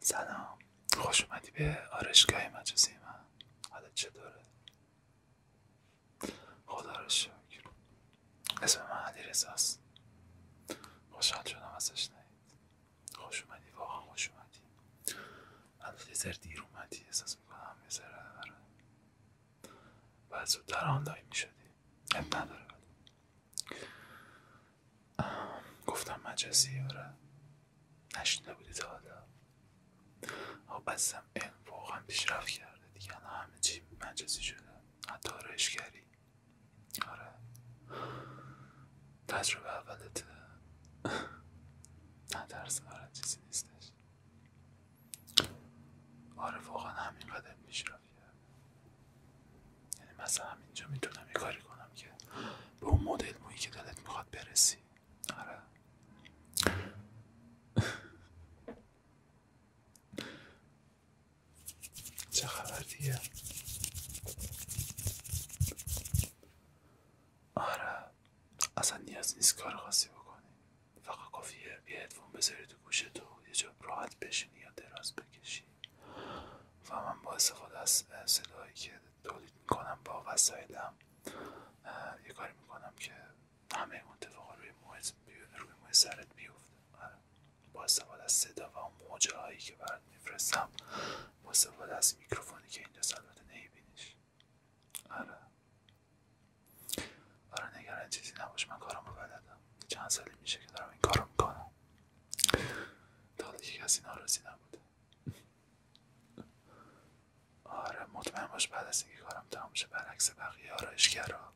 سلام خوش اومدی به آرشگاه مجازی من حالا چطوره خدا رو شکر اسم من علی رزاست خوشحال شدم ازش نهید خوش اومدی واقعا خوش اومدی البته یه ذره دیر اومدی احساس میکنم یه ذره داره باید زودتر آنلاین میشدی اب نداره ولی گفتم مجازی آره نشنیده بودی تا حالا خب بستم علم واقعا پیشرفت کرده دیگه الان همه چی مجازی شده حتی رشگری آره تجربه اولت نه درس چیزی نیستش آره واقعا همین قدم میشرفیه یعنی مثلا همینجا میتونم یه کاری کنم که به اون مدل مویی که دلت میخواد برسی آره چه خبر آره اصلا نیاز نیست کار خاصی بکنی فقط کافیه یه هدفون بذاری تو گوشه تو یه جا راحت بشینی یا دراز بکشی و من با استفاده از صداهایی که تولید میکنم با وسایلم یه کاری میکنم که همه اتفاقا روی بی روی محیط سرت بیفته آره. با استفاده از صدا و اون موجه که برات میفرستم با استفاده از میکروفونی که اینجا البته نمیبینیش آره آره نگران چیزی نباش من کارم رو بلدم چند سالی میشه که دارم این کارم میکنم تا دیگه کسی ناراضی نبوده آره مطمئن باش بعد از اینکه کارم تمام شه برعکس بقیه را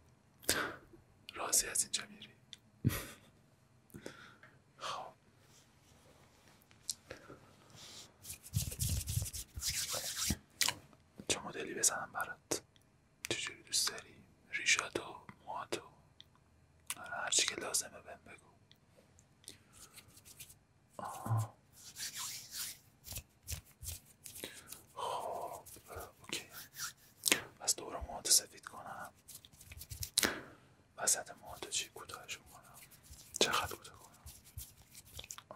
راضی از اینجا میری خب چه مدلی بزنم برات چجوری دوست داری ریشات و موهات آره، هرچی که لازمه بم بگو خب اوکی پس دور موهات سفید کنم وسط مهاتو چی کوتاهشون کنم چقدر کوتاه کنم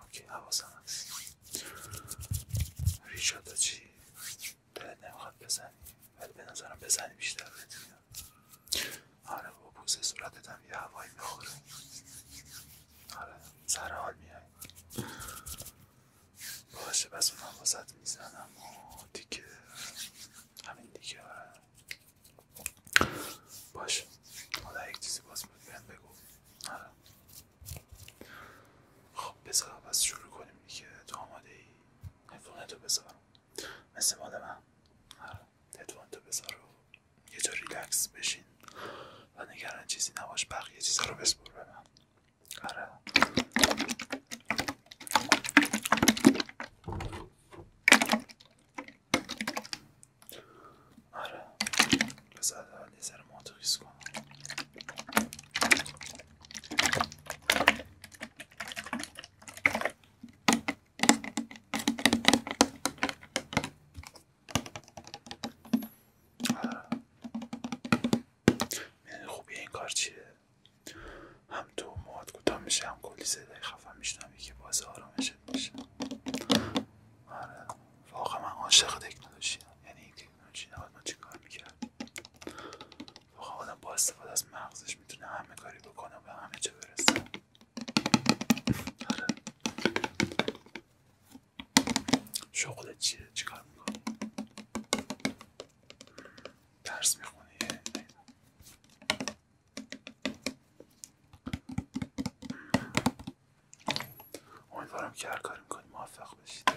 اوکی حواسم هست ریشاتا چی دلت نمیخواد بزنی ولی به نظرم بزنی بیشتر بهت آره با بوسه صورتت هم یه هوایی میخوره آره سر حال باشه پس اونم واسط میزنم و دیگه همین دیگه آره باشه حالا یک چیزی باز بود بگو آره. خب بذار شروع کنیم که تو آماده ای هدفون تو بذار مثل مال من آره هدفون یه جا ریلکس بشین و نگران چیزی نباش بقیه چیزا رو بسپور به آره بذار یه ذره ماتریس کنم آره یعنی خوبی این کار چیه؟ هم تو مواد کوتاه میشه هم کلی صدای خفن میشنوی که باز آرامشه میشه آره واقعا من عاشق تکنولوژی هم. یعنی این تکنولوژی نباید ما چیکار میکرد واقعا آدم با استفاده از مغزش میتونه همه کاری بکنه و همه جا برسه آره شغلت چیه کار میکنی درس میخونی امیدوارم که هر کاری میکنی موفق بشید خب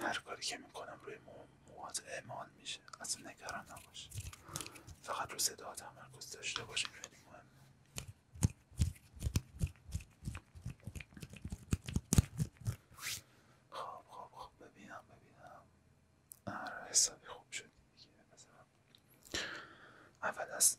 هر کاری که میکنم روی موهات اعمال میشه اصلا نگران نباش فقط رو صدا تمرکز داشته باشیم خیلی مهمه خب خب خب ببینم ببینم آره حسابی خوب شد دیگه اول از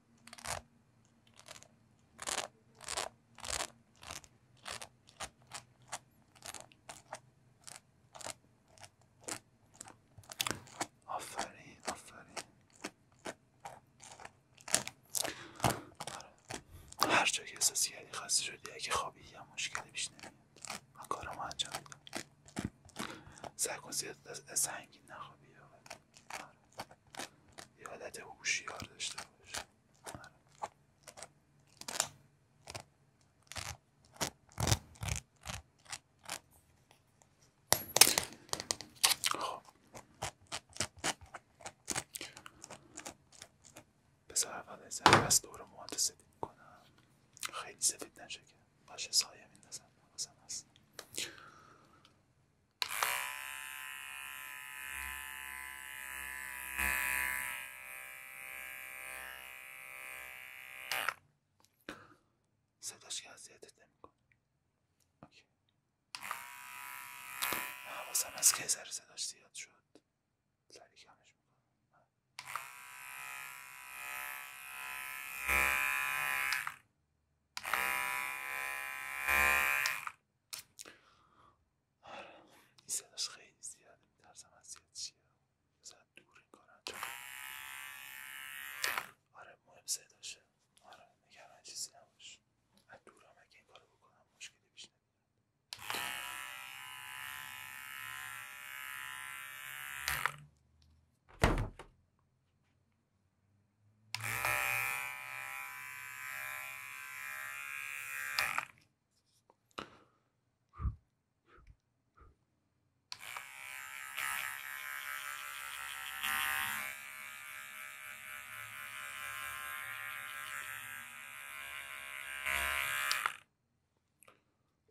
آفرین آفرین آره. که احساس کردی شدی اگه خوابی یا مشکلی پیش نمیاد من کارمو انجام میدم سعی کن زیاد از نخوابی یادت حالت هوشیار داشته باشه خب بذار اول از رو مهات سفید کنم خیلی سفید نشه باشه سایه میندازم حواسم هست صداش که اذیتت نمیکنه اوکی حواسم هست که صداش زیاد شد سری کمش این صداش خیلی زیاده میترسم از زیاد چیه بزن دور این کار آره مهم صداشه آره نگران چیزی نباش از دورم اگه این کارو بکنم مشکلی پیش نمیاد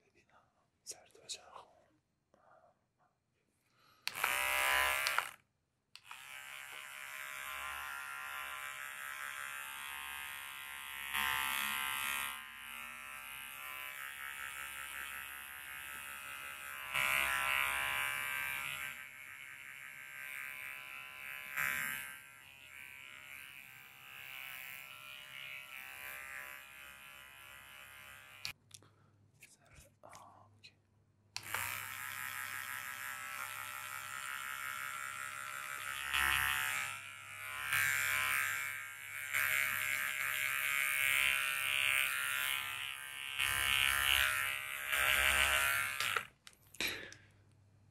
ببینم سر Is that it? Oh, okay.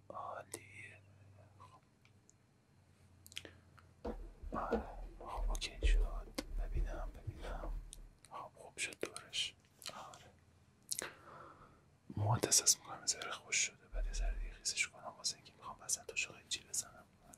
عالیه خب. خب اوکی شد ببینم ببینم خوب خب شد دورش آره موهات احساس میکنم زره خوش شده بعد یه ذره خیسش کنم واسه اینکه میخوام وسط و چی بزنم آره.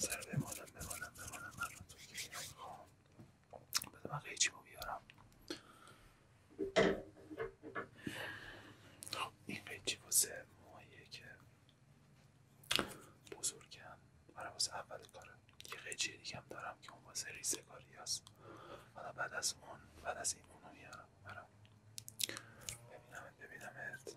سر بمالم بمالم بمالم من رو تو که میخوام بده من قیچی رو بیارم این قیچی واسه موهاییه که بزرگم برای واسه اول کاره یه قیچی دیگه دارم که اون واسه ریزه کاری هست حالا بعد از اون بعد از این اونو میارم برم ببینم ببینمت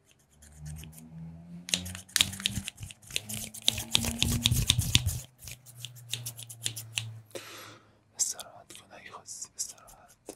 استراحت کن اگه استراحت من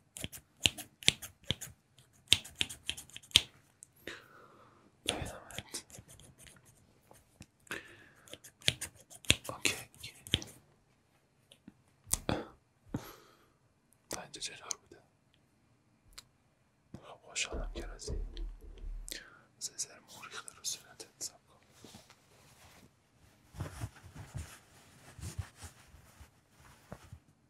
ببینمت اوکی تا اینجا چطور بوده خب خوشحالم که رازی سیزر موریخته رو صورتت حساب کن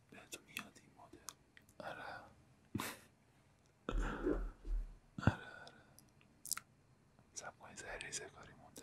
این بهتون این مدل آره آره آره سب کنید کاری دیگه یه کاری مونده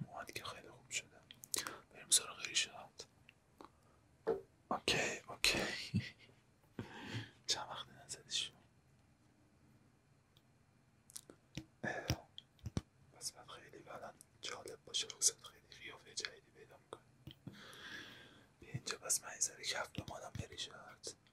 موهات که خیلی خوب شده بریم سراغ ریشات اوکی اوکی چند وقت نزدیش پس من خیلی بعدا جالب باشه روزت خیلی قیافه جدیدی پیدا میکنی به اینجا بس من این رو کف به مادم بریشت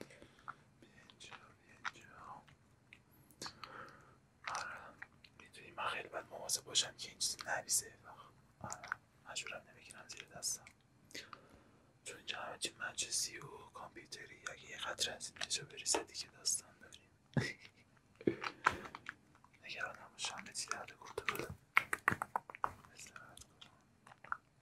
اینجا اینجا آره باید باشم که این چیزی نریزه آره، مجبورم نمیگیرم زیر دستم چون اینجا همه مجزی و کامپیوتری اگه یه قدر از اینجا بریزه دیگه داستان داریم نگران نباشم به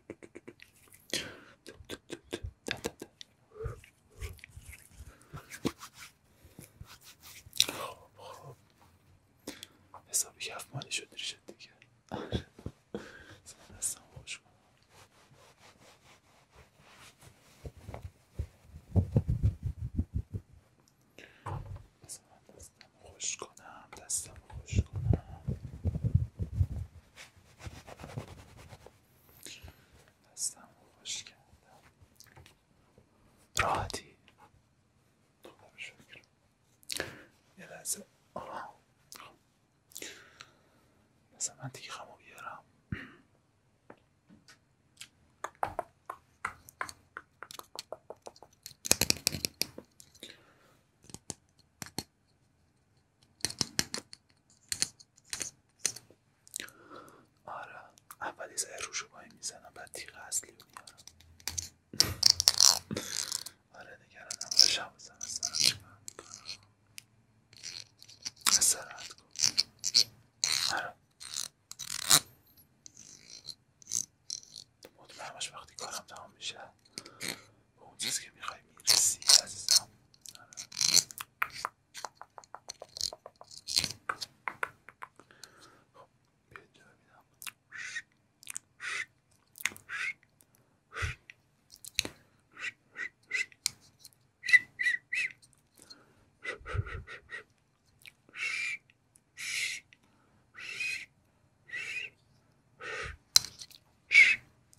خوب خب حسابی کفمانی شد ریشت دیگه دستم خوش کنم من دستم خوش کنم دستم کنم هستم کردم راحتی خدا رو یه لحظه مثلا من دیگه خمو بیارم آره اول یه میزنم بعد تیغ اصلی رو میارم آره نگران نباشم بزن از وقتی کارم تمام میشه ce c'est ça. Oh, bien Chut, chut,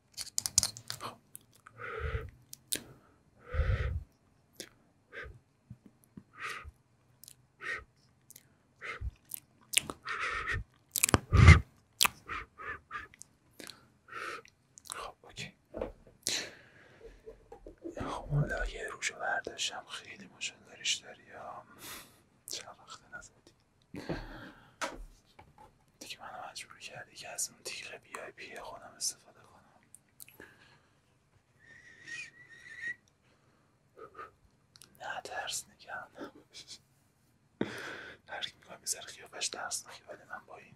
خب اوکی خب اون روشو برداشتم خیلی مشکل داری چند وقت دیگه منو مجبور کردی که از اون تیغ بی آی پی خودم استفاده کنم نه ترس نگم هر کی میکنم بذاره خیابش ترس نگه ولی من با این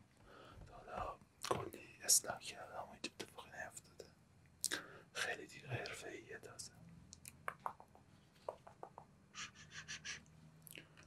حالا کلی اصلاح کردم و تو اتفاقی نیفتاده خیلی دیگه حرفه ایه تازه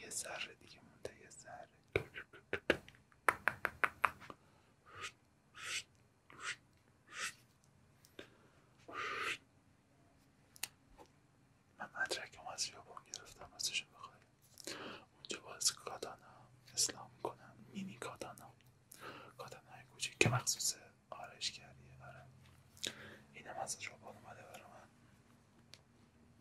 یه ذره دیگه مونده یه ذره من مدرکم از یابان گرفتم ازش بخواهیم اونجا باز کادانا اسلام کنم مینی کادانا کادانا های که مخصوص آرایشگریه آره اینم از ژاپن اومده برام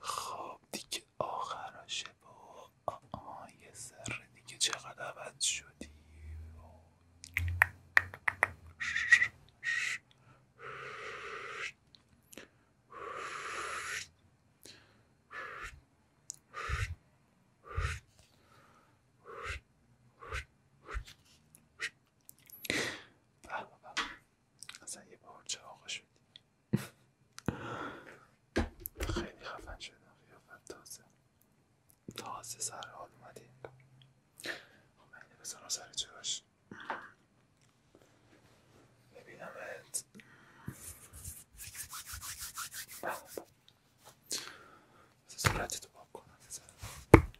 خب دیگه آخرشه با آها یه سر دیگه چقدر عوض شدی بابا اصلا یه بار چه آقا شدی خیلی خفن شدم تازه تازه سر حال مدی خب من اینه سر جاش ببینم ات بابا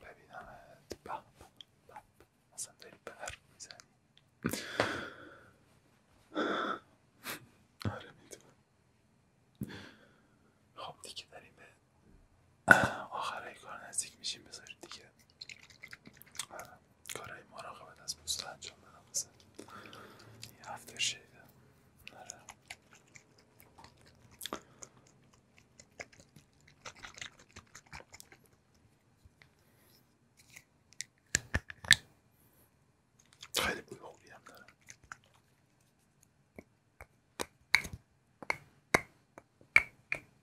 ببینمت بب بب اصلا داری بر میزنی آره میدونم خب دیگه داریم به آخرهای کار نزدیک میشیم بذارید دیگه آره کارهای مراقبت از پوست انجام بدم این یه هفته نره خیلی بوی خوبی هم داره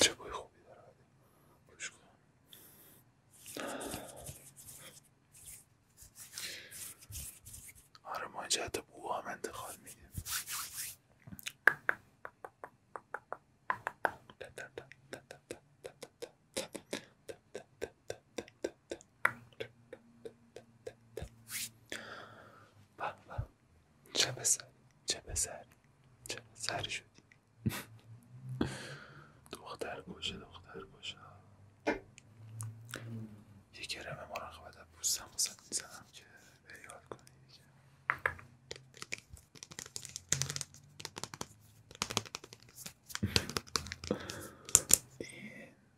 چه بوی خوبی داره کن آره ما جهت بو هم انتخاب چه چه سری چه شدی دختر گوشه دختر گوشه یکی کرم مرا از پوستم میزنم که به یاد کنی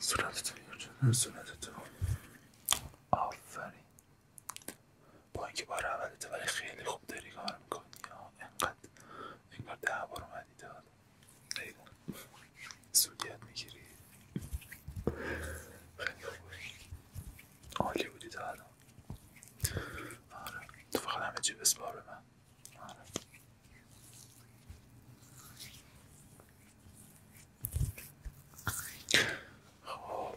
Słuchajcie, صورت nie wiem, Surette diyorsunuz, تو برای ولی خیلی خوب این انگار ده بار اومدی داد سوگیت میگیری خیلی خوبه عالی بودی آره. تو فقط همه چی بسپار به من آره خب.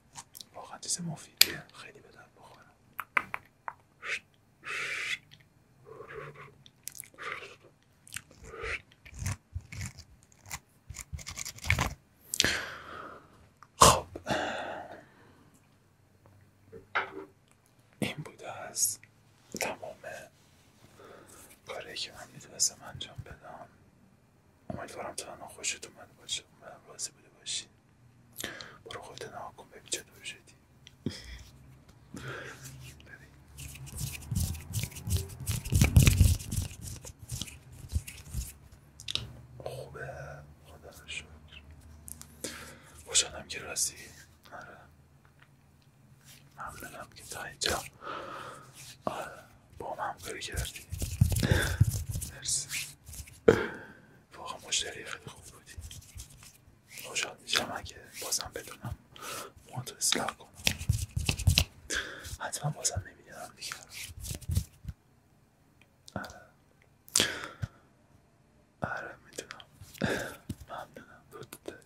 واقعا چیز مفیدیه خیلی به بخورم خب این بوده از تمام کاری که من میتونستم انجام بدم امیدوارم همه خوشت اومده باشه امیدوارم راضی بوده باشی برو خودت نها کن ببین دور شدی خوبه خدا رو شکر خوشحالم که راستی آره ممنونم که تا اینجا آره با من همکاری کردی مرسی واقعا مشتری خیلی خوب بودی خوشحال میشم که بازم بدونم ما تو اصلاح کنم حتما بازم نمیدونم دیگه اره آره میدونم ممنونم دوت داری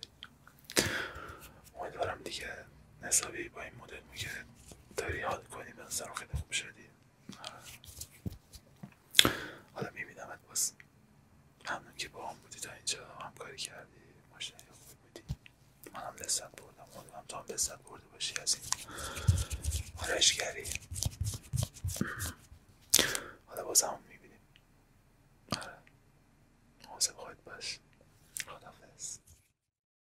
امیدوارم دیگه نصابی با این مدل میگه داری حال کنی به نظر خیلی خوب شدی حالا میبینم ات باز همون که با هم بودی تا اینجا همکاری کردی ماشینی خوب بودی من هم لذت بردم هم تو هم لذت برده باشی از این آرایشگری حالا باز هم میبینیم آره مواظب خودت باش خدافظ